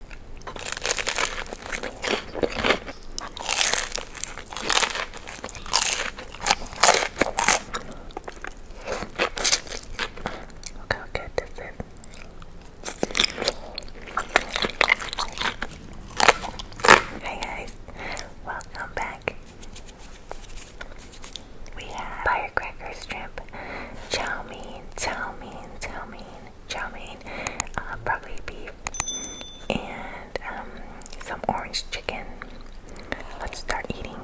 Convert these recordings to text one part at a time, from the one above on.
Look how this is. Hey guys, welcome back. We have firecrackers, shrimp, chow mein, chow mein, chow mein chow mein, uh, probably beef, and um, some orange chicken. Let's start eating.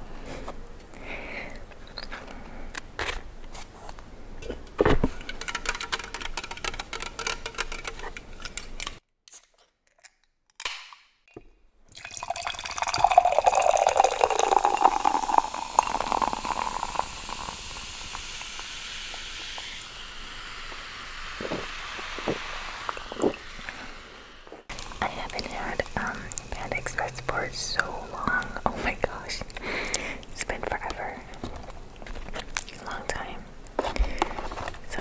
I haven't had um Panda Express for so long. Oh my gosh. It's been forever. A long time. So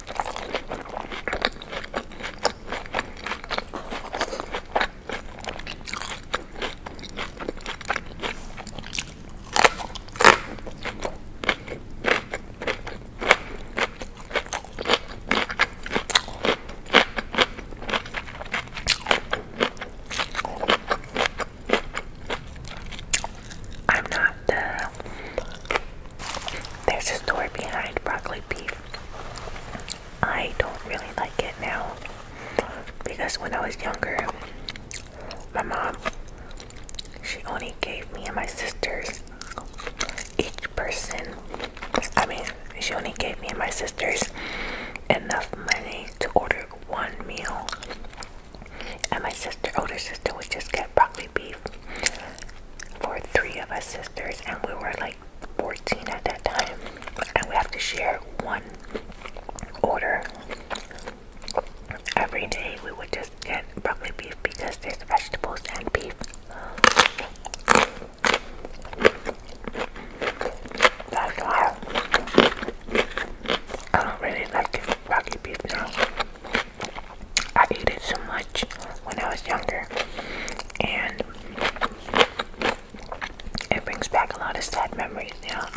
I'm not the there's a story behind broccoli beef. I don't really like it now because when I was younger, my mom she only gave me and my sisters each person. I mean, she only gave me and my sisters enough money to order one meal, and my sister, older sister, would just get broccoli beef for three of us sisters, and we were like 14 at that time, and we have to share one order every day. We would just get broccoli beef because there's vegetables and beef. That's why I don't really like broccoli beef now. I ate it so much when I was younger, and it brings back a lot of sad memories, now.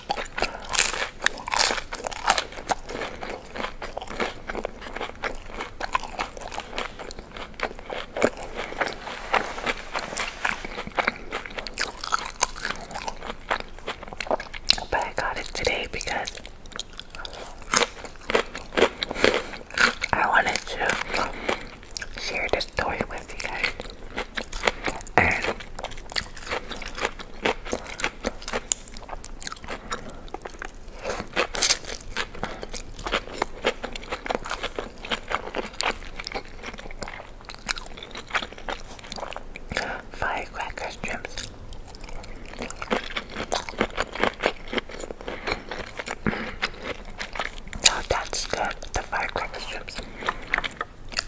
But I got it today because I wanted to share this story with you guys and firecracker strips. No, mm. oh, that's good. The firecracker strips.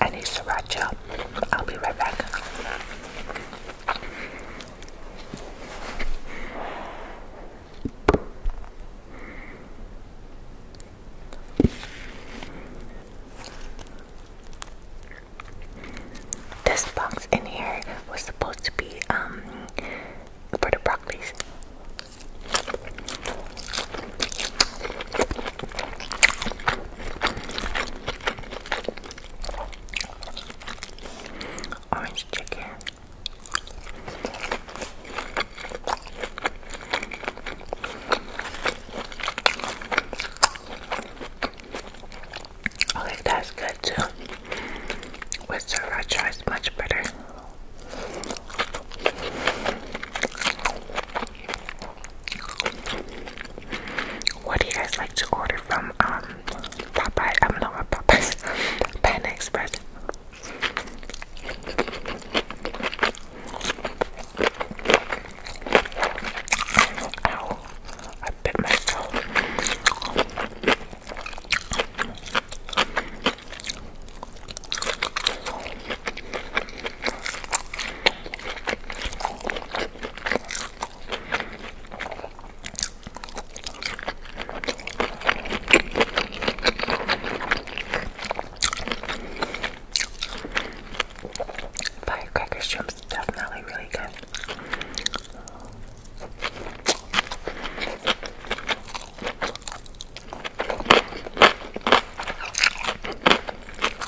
I need sriracha. I'll be right back. This box in here was supposed to be um for the broccoli. Orange chicken. Okay, oh, that's good too. With sriracha, it's much better. What do you guys like to order from um Popeye? I'm not a Popeyes Panda Express. Ow, I bit myself. Firecracker shrimp's definitely really good.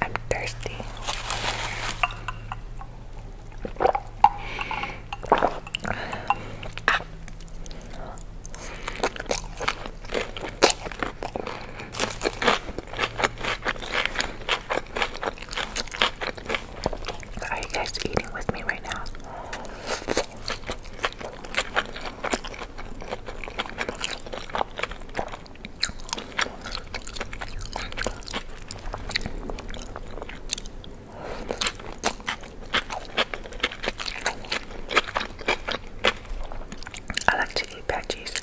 I'm thirsty. Ah. Are you guys eating with me right now? I like to eat veggies.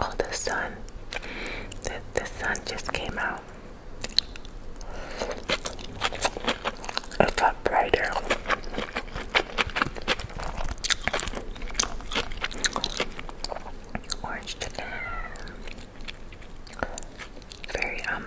Oh, the sun. The, the sun just came out. A lot brighter. Orange chicken. Very, um,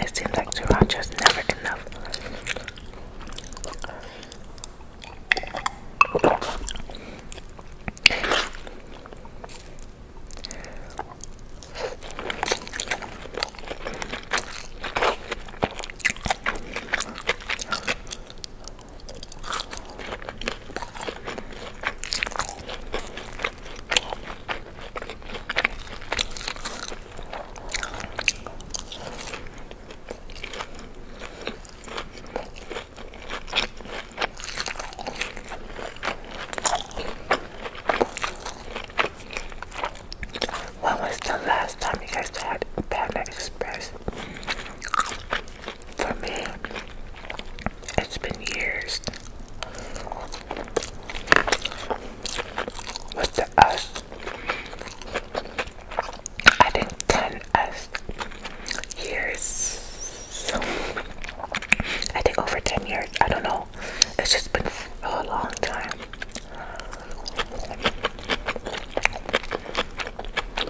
It seems like sriracha is never enough. When was the last time you guys had a Panda Express? for me, it's been years. With the us, think 10 us years. I think over 10 years. I don't know. It's just been a long time.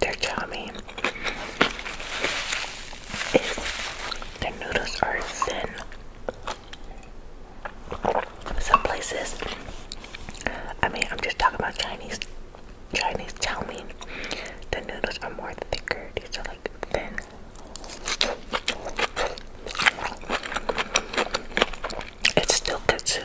their chami is their noodles are thin. Some places, I mean, I'm just talking about Chinese. Chinese chow mein, the noodles are more thicker. These are like thin. It's still good too.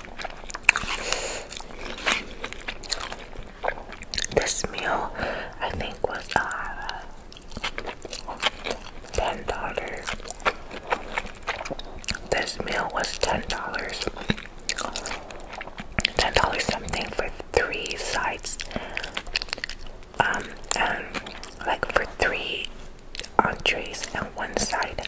This meal, I think, was uh, ten dollars. This meal was ten dollars. Ten dollars something for three sides. Um, and like for three entrees and one side.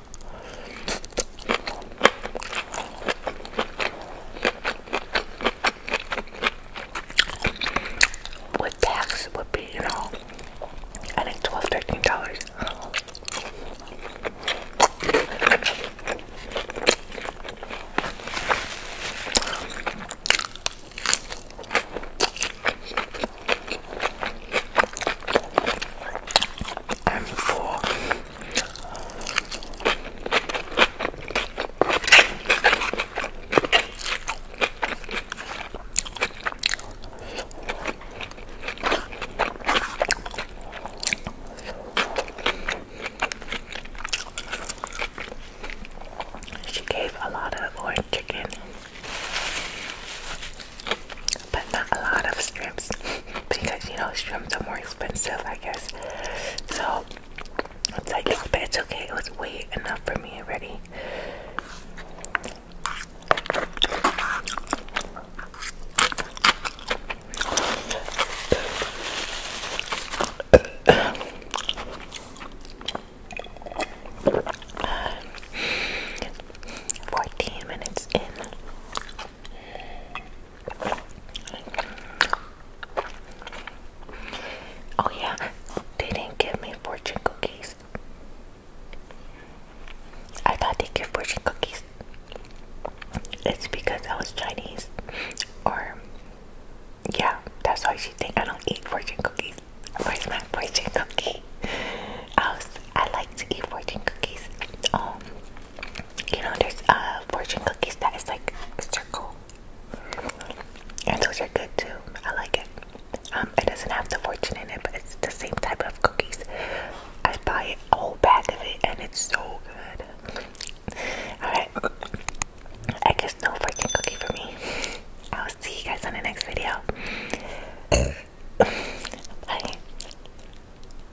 What tax would be, you know, I think twelve, thirteen dollars. I'm she gave a lot of orange chicken, but not a lot of strips because you know shrimps are more expensive I guess so it's like oh, but it's okay it was way enough for me already Fourteen minutes in. Oh yeah, they didn't give me fortune cookies. I thought they give fortune cookies. It's because I was Chinese, or yeah, that's why she think I don't eat fortune cookies. Where's my fortune cookie? I I like to eat fortune cookies. Um, you know, there's uh, fortune cookies that is like a circle, and those are good too. I like it. Um, it doesn't have the fortune in it, but it's the same type of cookies. I buy a whole bag of it, and it's so good. Alright, I guess no fortune cookie for me. I'll see you guys on the next video. Bye.